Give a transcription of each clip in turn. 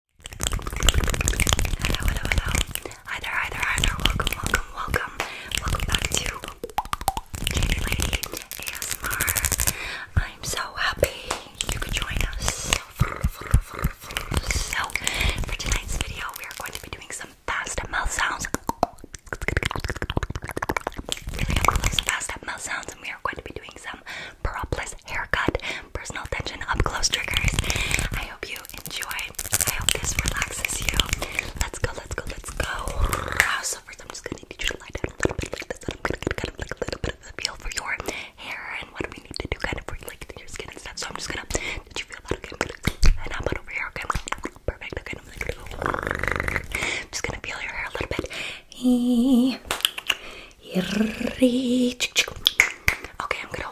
Hello, hello, hello. Hi there, hi there, hi there. Welcome, welcome, welcome. Welcome back to Jamie I'm so happy you could join us. So, for tonight's video, we are going to be doing some fast mouth sounds. Really up fast mouth sounds, and we are going to be doing some propless haircut, personal attention, up close triggers. I hope you enjoy. I hope this relaxes you. Let's go, let's go, let's go. So first I'm just gonna need you to lie down a little bit I'm gonna kind of feel for your hair and what we need to do kind of for your skin and stuff. So I'm just gonna did you feel that okay? perfect, just gonna feel your hair a little bit. Okay, I'm gonna.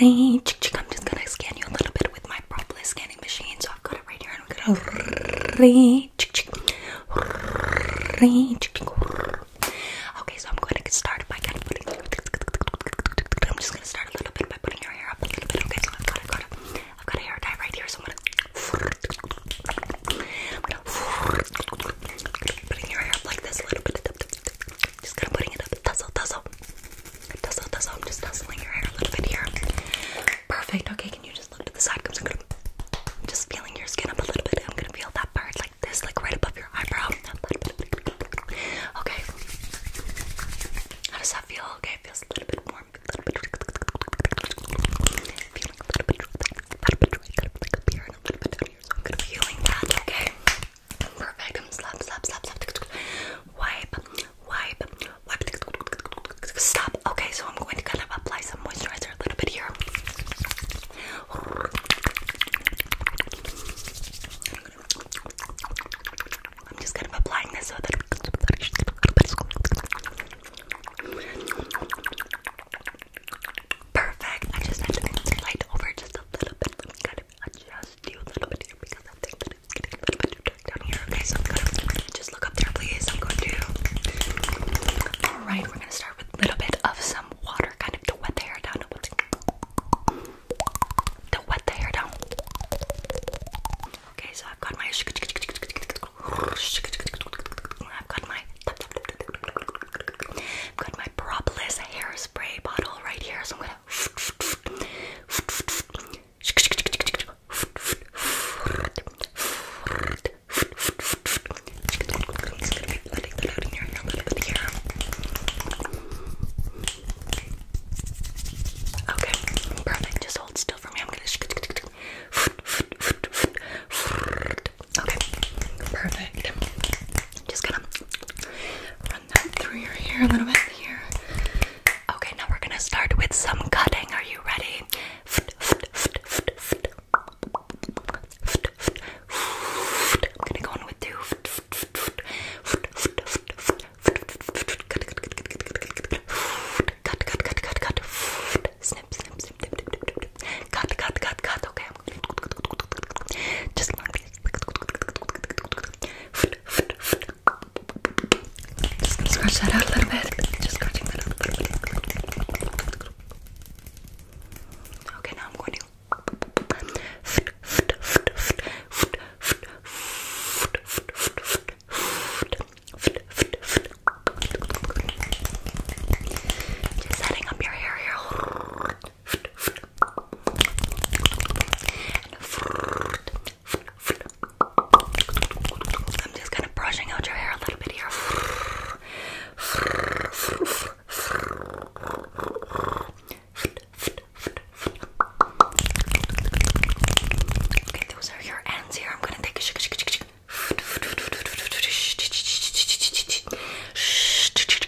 I'm just gonna scan you a little bit with my propolis scanning machine. So I've got it right here, and I'm gonna. Okay, so I'm going to start by I'm just gonna start a little bit by putting your hair up a little bit. Okay, so I've got, I've got, a, I've got a hair dye right here, so I'm gonna. I'm gonna putting your hair up like this a little bit. Just kind of putting it up. Tussle, tussle. Tussle, tussle. just tussling your hair a little bit here. Perfect. Okay, can you just look to the side? I'm gonna, I'm just feeling your skin up a little bit. I'm gonna feel that part like this, like right above your eyebrow. Okay. How does that feel? Okay, it feels a little bit warm. Feeling a little bit I'm gonna be that, okay? Perfect, I'm slap, slap, slap, slap, wipe, wipe, wipe, stop. Okay, so I'm going to kind of apply some moisturizer a little bit here. I'm just kind of applying this so Perfect. I just had to move over just a little bit. Let me kind a little bit here because I think getting a little bit too dark down here. Okay, so just look up there, please. I'm going to. Alright, we're gonna start with a little bit of some water kind of to wet the hair down. To wet the hair down. Okay, so I've got my. I've got my I've got my Propolis hairspray bottle right here, so I'm gonna. Okay, perfect. Just hold still for me. I'm gonna. Okay, perfect. Just gonna run that through your hair a little bit here. Okay, now we're gonna start with some cutting. Are you ready? I'm gonna go on with two. Cut, cut, cut, cut, cut. Snip, snip, snip, Cut, cut, cut, cut. Okay, I'm gonna just like this. Just scratch that out a little bit. Just scratching that out a little bit. Okay, now I'm going to. Just setting up your hair here. I'm just kind of brushing out your hair a little bit here. Okay, those are your ends here. I'm gonna take a shake, shake, shake, shake. Perfect.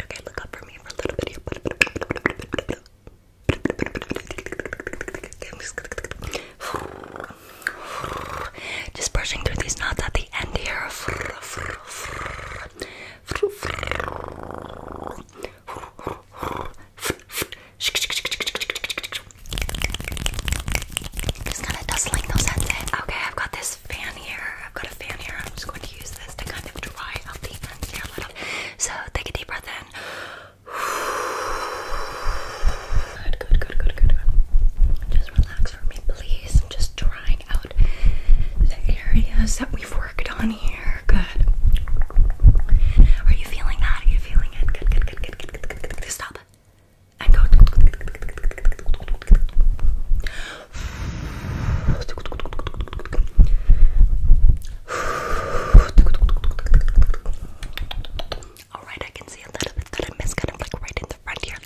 Okay, look up for me for a little bit. Just brushing through these knots at the end here. Just kind of dustling those heads in. Okay, I've got this fan here. I've got a fan here. I'm just going to use this to kind of dry out the ends here a little. So take a deep breath in. Good, good, good, good, good, good. Just relax for me, please. I'm just drying out the areas that we've worked on here. Good. Are you feeling that? Are you feeling it? Good, good, good, good, good, good, good, good, good. Stop. And go. All right, I can see a little bit that I missed, kind of like right in the front here.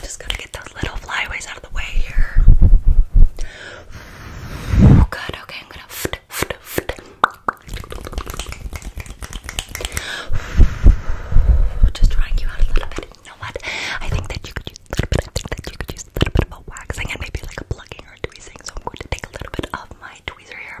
Just gotta get those little flyaways out of the way here. Oh, good. Okay, I'm gonna. Just drying you out a little bit. You know what? I think that you could use a little bit. I think that you could use a little bit of a waxing and maybe like a plucking or a tweezing. So I'm going to take a little bit of my tweezer here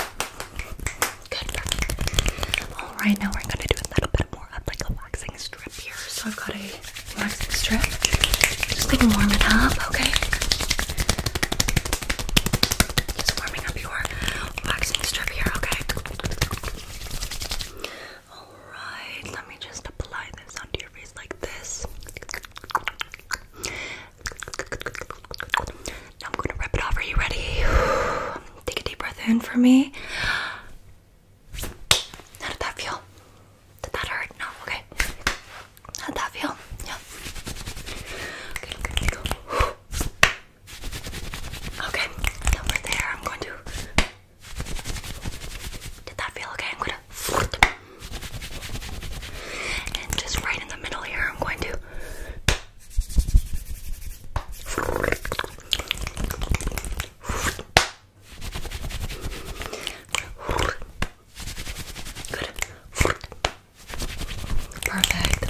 all right, now we're gonna do a little bit more of like a waxing strip here. So I've got a waxing strip. Just gonna up, okay? Just warming up your waxing strip here, okay? All right, let me just apply this onto your face like this. Now I'm gonna rip it off. Are you ready? Take a deep breath in for me. How did that feel? Did that hurt? No, okay. How did that feel? Yeah. Okay, okay, go. Okay, over there, I'm going to. Did that feel okay? I'm going to. And just right in the middle here, I'm going to. Perfect.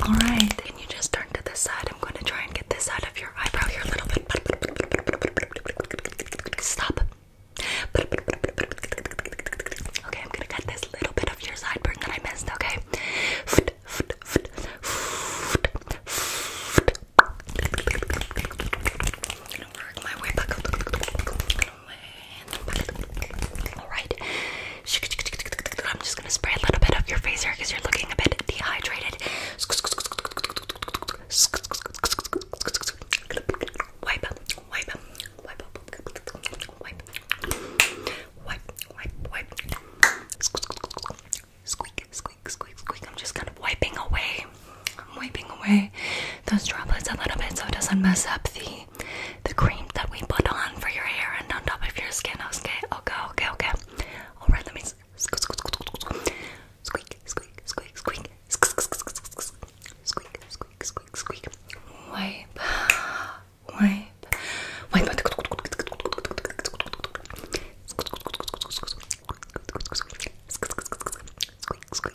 All right. Can you just turn to this side? I'm going to try and get this side of your eyebrow here a little bit. Stop. Okay, I'm going to cut this little bit of your sideburn that I missed, okay? gonna work my way back. Alright. I'm just gonna spray a little bit of your face here because you're looking a bit dehydrated. Wipe up, wipe up, wipe up, wipe wipe, wipe, wipe. Squeak, squeak, squeak, squeak. I'm just kind of wiping away. I'm wiping away those droplets a little bit so it doesn't mess up the the cream that we put on for your hair and on top of your skin. Okay, okay, okay, okay. All right, let me squeak, squeak, squeak, squeak, squeak, squeak, squeak, squeak, squeak, squeak. Wipe wipe, wipe.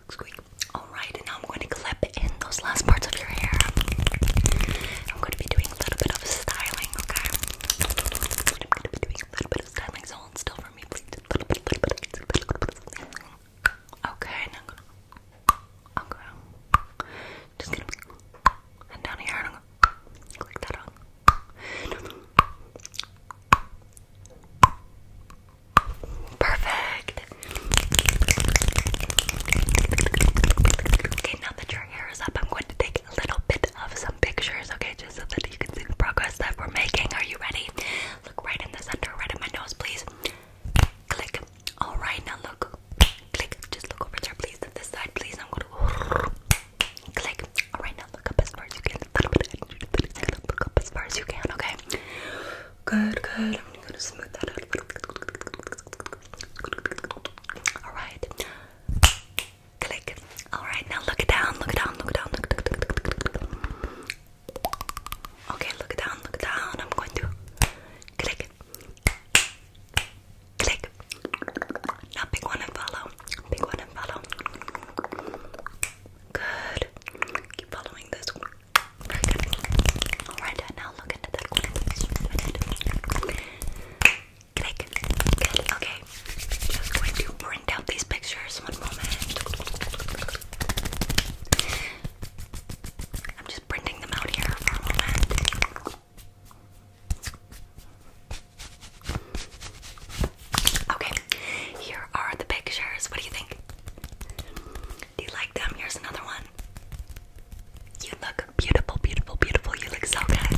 Squeak, Alright, and now I'm going to clip in those last parts of your hair. I'm going to be doing a little bit of styling, okay? I'm going to be doing a little bit of styling, hold still for me, please. Okay, now just gonna be down here and I'm gonna click that on. Perfect. Okay, now that your hair is up, I'm going to take a little bit of some pictures, okay, just so that you can see the progress that we're making. Are you ready? Look right in the center, right in my nose, please. Click. Alright, now look click. Just look over there, please. To this side, please. I'm gonna click. All right, now look up as far as you can. Look up as far as you can. Okay. Good, good. I'm gonna smooth that out All right. Click. All right, now look down. Look down. Look down. Look. look, Okay, look down, look down. I'm going to click, Click. Now pick one and follow. Pick one and follow. Good. Keep following this. Very good. Alright, now look into that corner. Click. Okay. Just going to print out these pictures. One moment. I'm just printing them out here for a moment. Okay, here are the pictures. What do you think? Do you like them? Here's another one. You look beautiful, beautiful, beautiful. You look so good.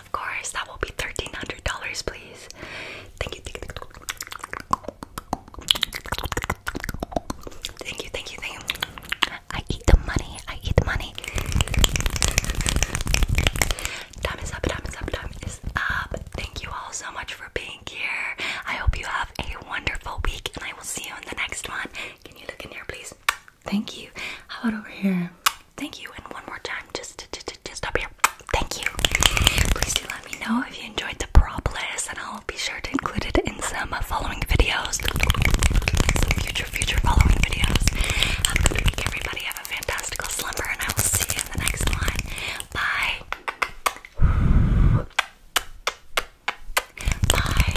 Of course, that will be $1,300, please. Thank you. Thank you, thank you, thank you. I eat the money, I eat the money. Time is up, time is up, time is up. Thank you all so much for being here. I hope you have a wonderful week and I will see you in the next one. Can you look in here, please? Thank you. How over here? Thank you. And one more time, just, just, up here. Thank you. Please do let me know if you enjoyed the prop list be sure to include it in some following videos. future, future following videos. everybody. Have a fantastical slumber, and I will see you in the next one. Bye. Bye.